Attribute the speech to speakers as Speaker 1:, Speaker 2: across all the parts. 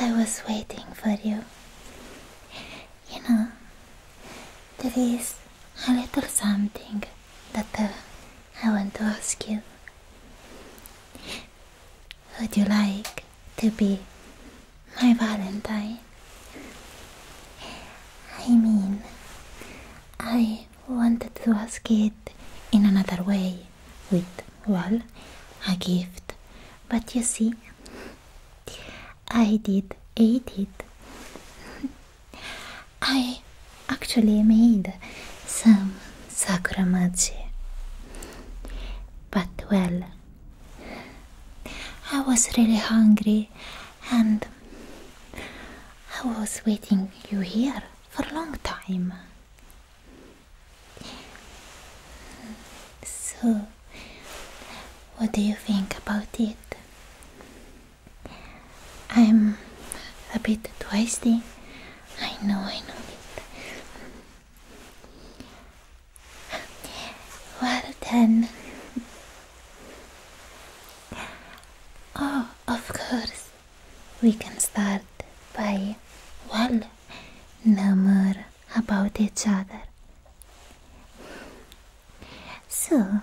Speaker 1: I was waiting for you. You know, there is a little something that uh, I want to ask you. Would you like to be my Valentine? I mean, I wanted to ask it in another way with, well, a gift, but you see, I did ate it. I actually made some sakura but well, I was really hungry and I was waiting you here for a long time. So, what do you think about it? I'm a bit twisty. I know, I know it. Well then. Oh, of course. We can start by, well, murmur about each other. So,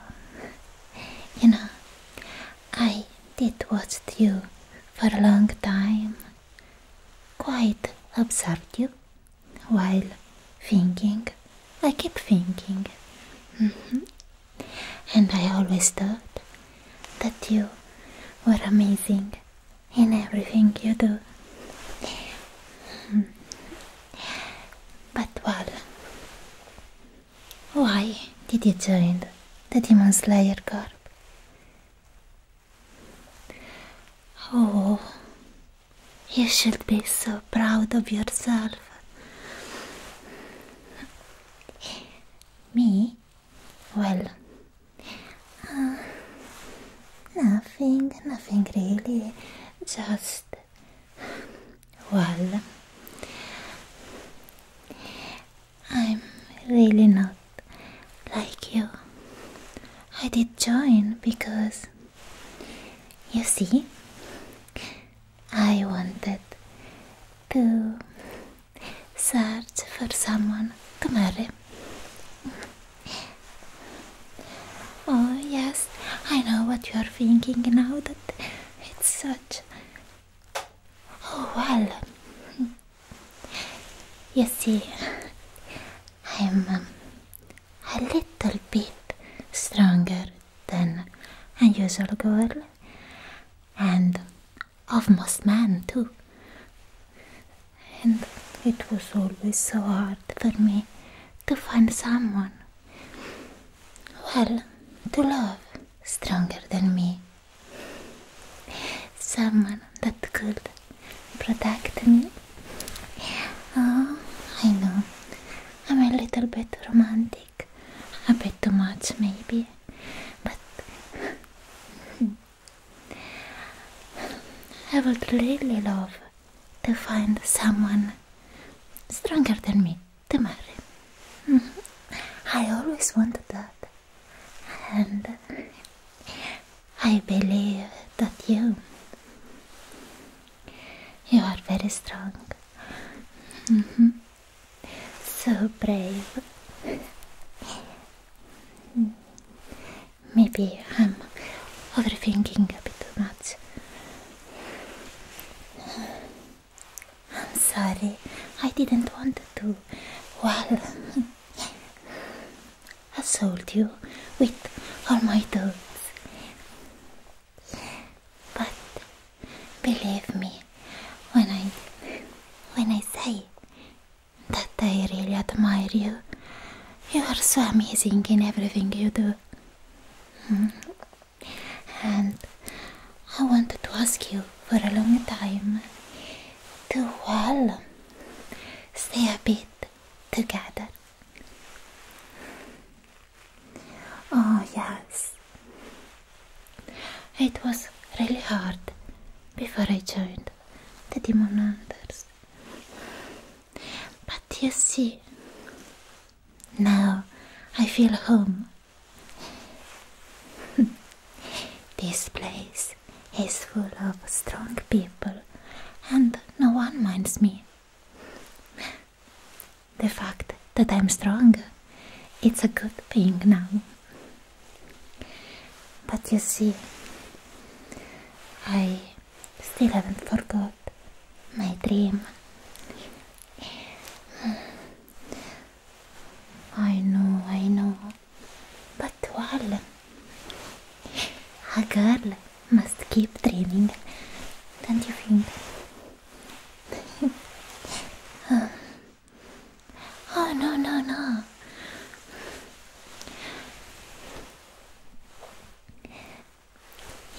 Speaker 1: you know, I did watch you for a long time, quite observed you while thinking. I keep thinking. Mm-hmm and I always thought that you were amazing in everything you do. Hmm. But well, why did you join the Demon Slayer Corps? Oh, you should be so proud of yourself. Me? Well, uh, nothing, nothing really, just well, I'm really not like you. I did join because, you see, I wanted to search for someone to marry. oh, yes, I know what you are thinking now that it's such. Oh, well. You see, I'm um, a little bit stronger than a usual girl, and of most men too. And it was always so hard for me to find someone, well, to love stronger than me. Someone that could protect me. Oh, I know, I'm a little bit romantic a bit too much maybe but I would really love to find someone stronger than me to marry. Mm-hmm. I always wanted that, and I believe that you you are very strong. Mm-hmm. So brave. Maybe I'm overthinking a bit too much. I'm sorry, I didn't want to. Well, assault you with all my doubts, But Believe me when I when I say that I really admire you. You are so amazing in everything you do. Hmm. And I wanted to ask you for a long time to well stay a bit together. Oh, yes, it was really hard before I joined the Demon Hunters. But you see, now I feel home. this place is full of strong people and no one minds me. The fact that I'm strong. It's a good thing now. But you see, I still haven't forgot my dream. I know, I know. But well, a girl must keep dreaming, don't you think? Uh, Oh, no, no, no.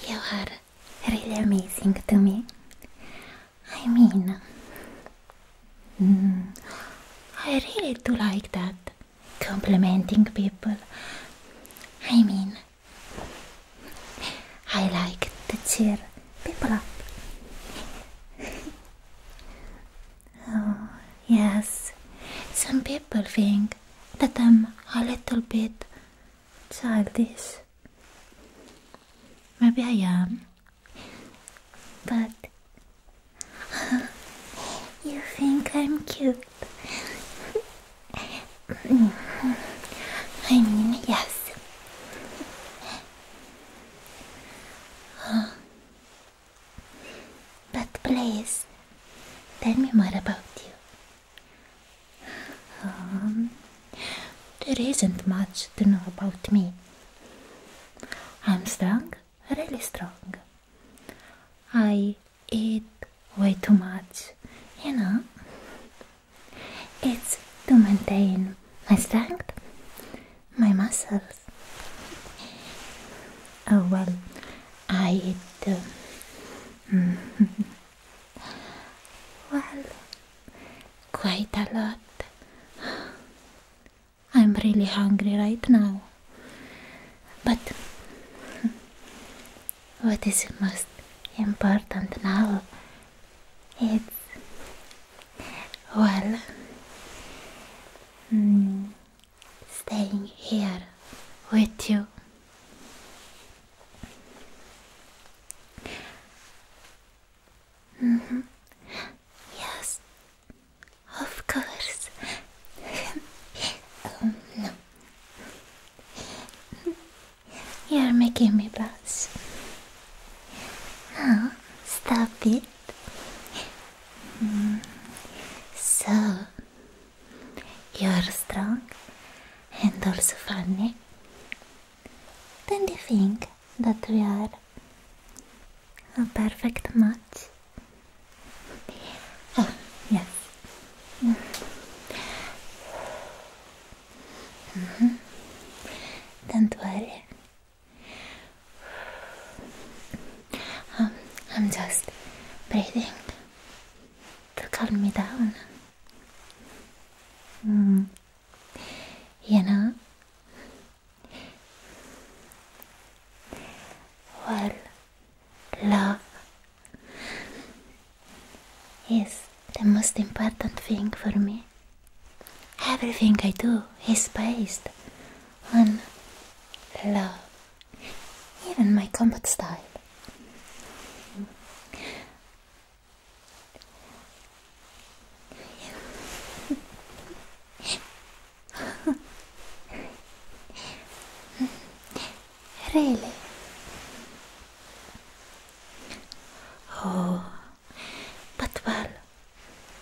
Speaker 1: You are really amazing to me. I mean, mm, I really do like that. Complimenting people. I mean, I like to cheer people up. oh, yes, some people think that I'm a little bit childish. Maybe I am, but you think I'm cute. I mean, yes. But please, tell me more about you. Um, there isn't much to know about me. I'm strong, really strong. I eat way too much, you know. It's to maintain my strength, my muscles. Oh well, I eat. Uh, well, quite a lot. I'm really hungry right now. But what is most important now it's well mm, staying here with you. Mm-hmm. Yes, of course. Um, no. You're making me blush. Now, stop it. Hmm. So, you're strong and also funny. Then not you think that we are a perfect match? Oh, yes. -hmm. Don't worry. Um, I'm just breathing to calm me down. Mm. You know? Well, love is the most important thing for me. Everything I do is based on love, even my combat style. really? Oh. But well,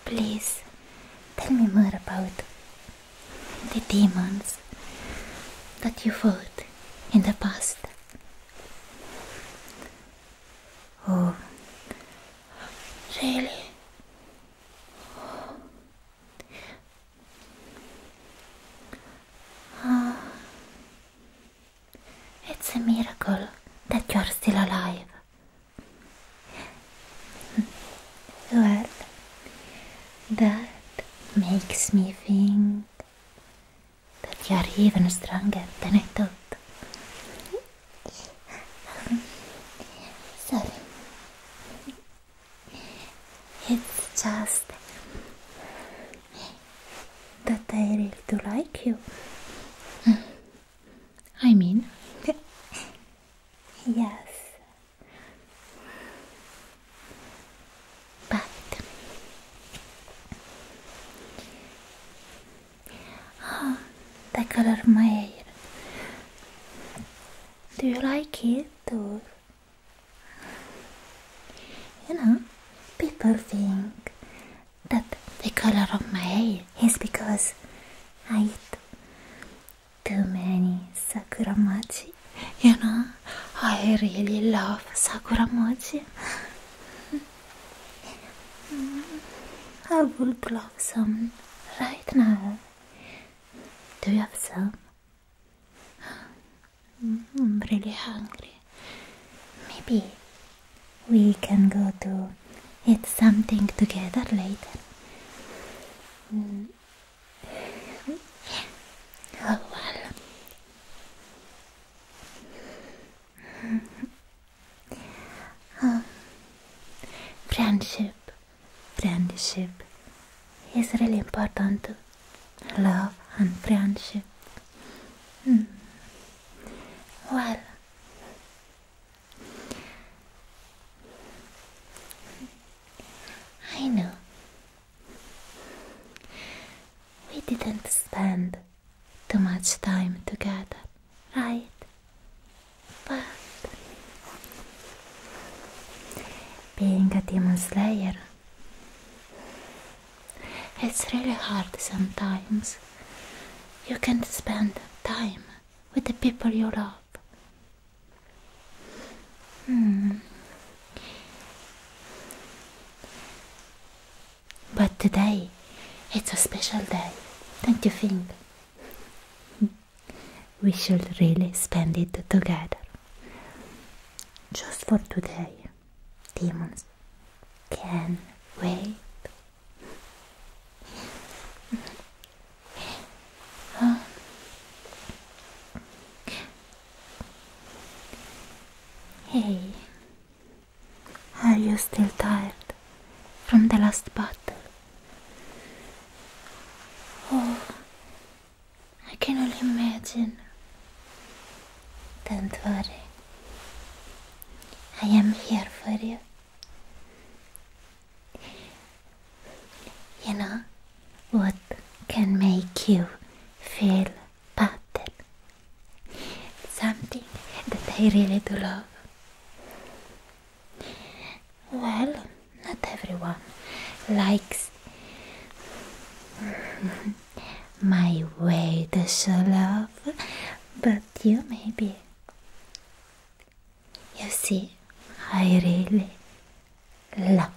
Speaker 1: please tell me more about the demons that you fought in the past. Oh, really? Uh, It's a miracle that you're still alive. Hm. well, that makes me think that you're even stronger than I thought. sorry. It's just that I really do like you. I mean, yes. But oh, the color of my hair. Do you like it or? You know, people think that the color of my hair is because I eat too many sakura mochi. You know, I really love sakura mochi. I would love some right now. Do you have some? I'm really hungry. Maybe we can go to eat something together later. Oh well. Friendship, friendship is really important. Love and friendship. Hmm. Well, I know we didn't spend too much time together, right? But being a demon slayer it's really hard sometimes. You can't spend time with the people you love. Hmm. But today, it's a special day, don't you think? we should really spend it together. Just for today demons can wait. hey, are you still tired from the last battle? Oh, I can only imagine. Don't worry, I am here for you. You know what can make you feel better? Something that I really do love. Well, not everyone likes my way to show love but you maybe. You see, I really love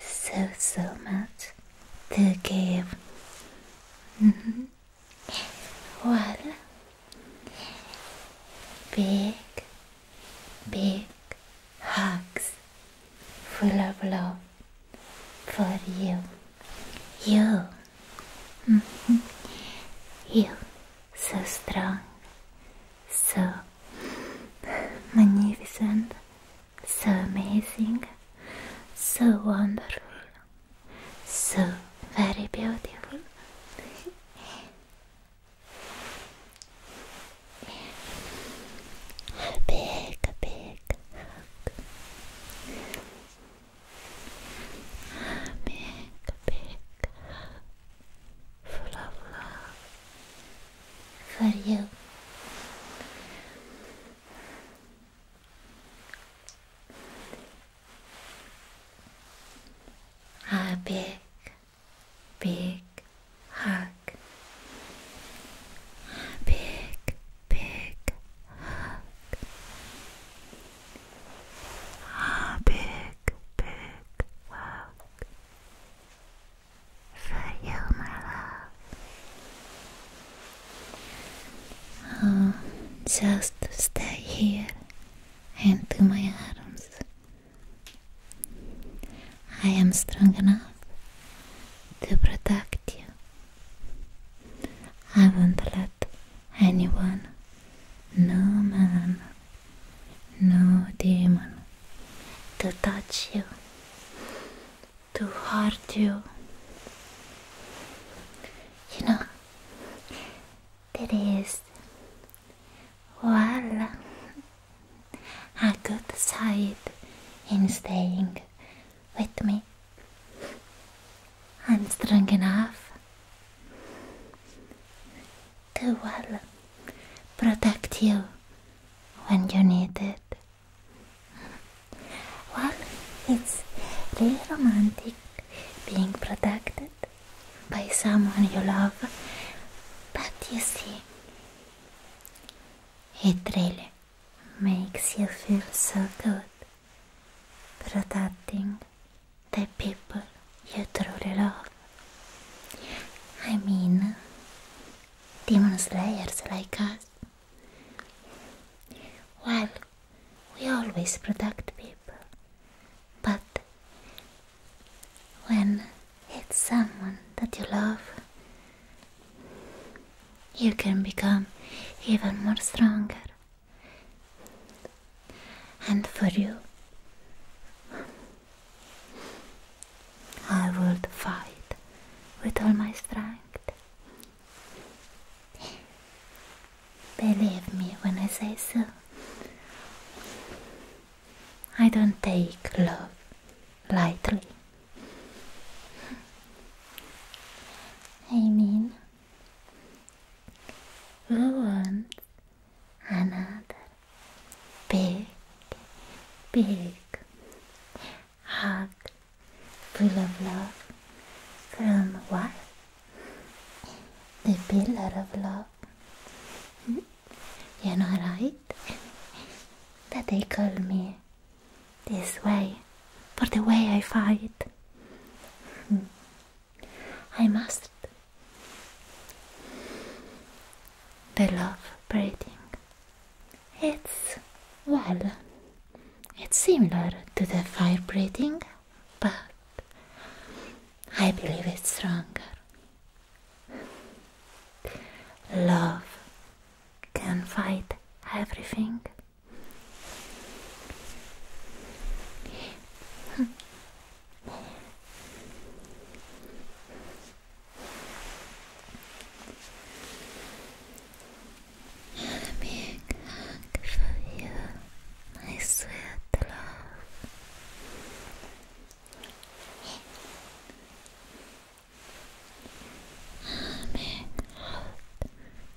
Speaker 1: so so much the game. Mm -hmm. Well, big, big hugs full of love for you. You. Mm-hmm. you. So strong. So magnificent. So amazing. So wonderful. So very beautiful. A big, big hug. Big, big full of love for you. A big, big hug. A big, big hug. A big, big hug for you, my love. Uh, just stay here and to my arms. I am strong enough to protect you I won't let anyone, no man, no demon, to touch you, to hurt you. You know, there is well a good side in staying with me. I'm strong enough to well protect you when you need it. Well, it's really romantic being protected by someone you love, but you see, it really makes you feel so good, protecting the people you truly love. I mean, demon slayers like us. Well, we always protect people, but when it's someone that you love, you can become even more stronger. And for you, I would fight with all my strength. Believe me when I say so. I don't take love lightly. I mean, who wants another big, big hug full of love from what? The pillar of love. You know, right? That they call me this way, for the way I fight. Hmm. I must. the love breathing. It's, well, it's similar to the fire breathing, but I believe it's stronger. Love can fight everything. A big hug for you, my sweet love i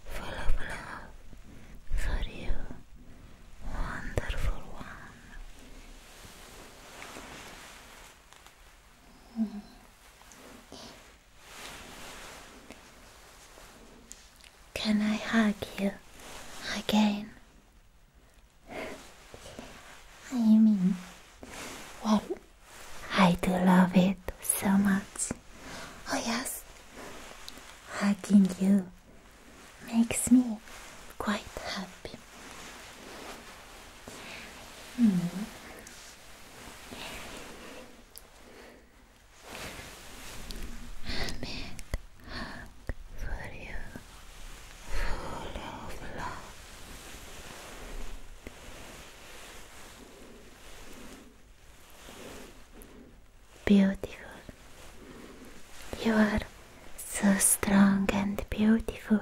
Speaker 1: full of love for you, wonderful one. Can I hug you again? I mean, well, I do love it so much. Oh, yes, hugging you makes me quite happy. Mm. Made hug for you, full of love. Beautiful. You are so strong and beautiful.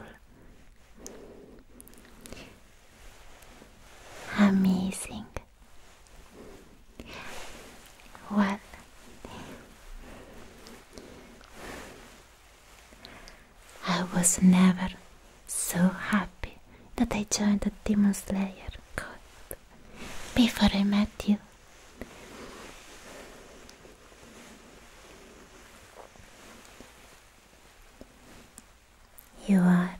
Speaker 1: Amazing. What? I was never so happy that I joined the Demon Slayer Corps before I met you. You are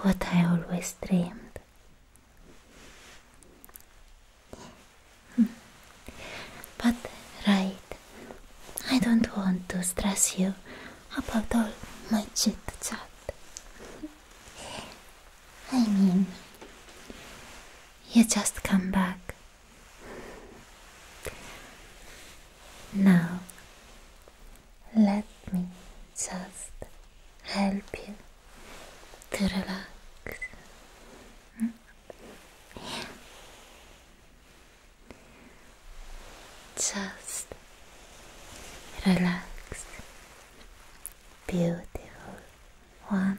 Speaker 1: what I always dreamed. Hmm. But, right, I don't want to stress you about all my chit chat. I mean, you just come back. Now, let me just help you to relax. Hmm? Just relax. Beautiful one.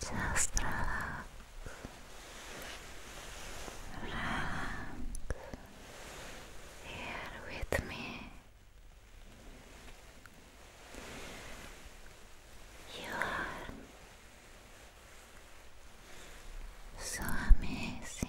Speaker 1: Just relax. Relax. Here with me. You are so amazing.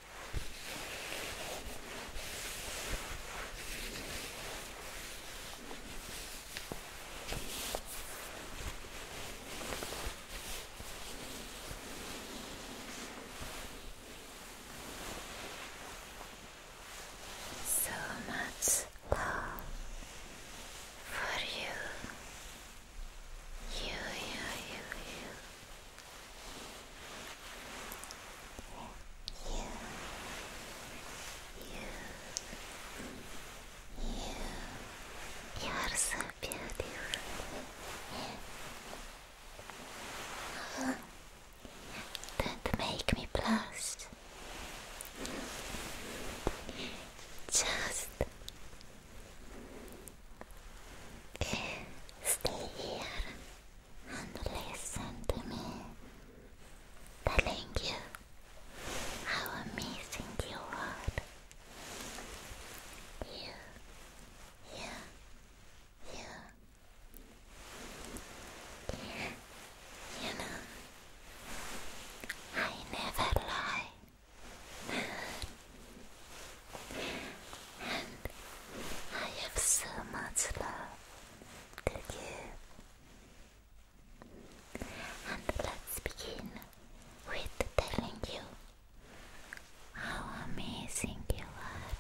Speaker 1: So much love for you. You, you, you, you you, you, you, you are so beautiful. don't make me blush. Just stay here and listen to me telling you how amazing you are. You, you, you. You know, I never lie and I have so much love to give. And let's begin with telling you how amazing you are.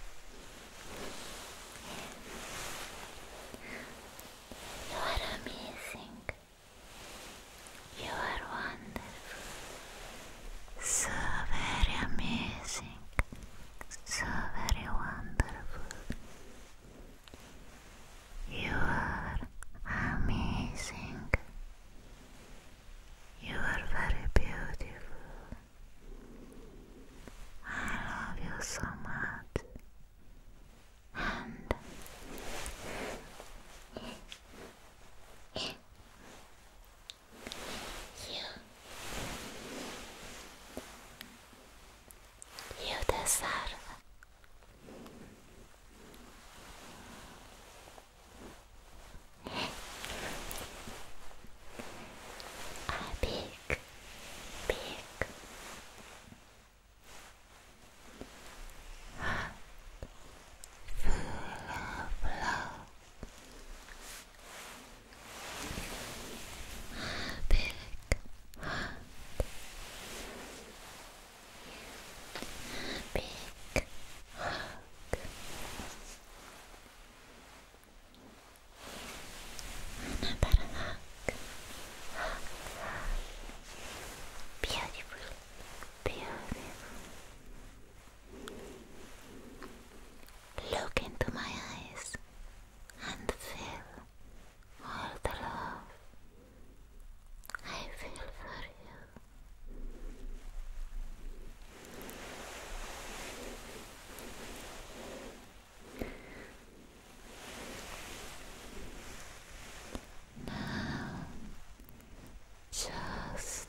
Speaker 1: You are amazing. You are wonderful. So very amazing, so very wonderful. You are amazing. You are very beautiful. I love you so much. And you. You deserve. A big, big heart full of love. Big heart. Big hug. Another hug. Beautiful. Beautiful. Look into my eyes and feel all the love I feel for you. just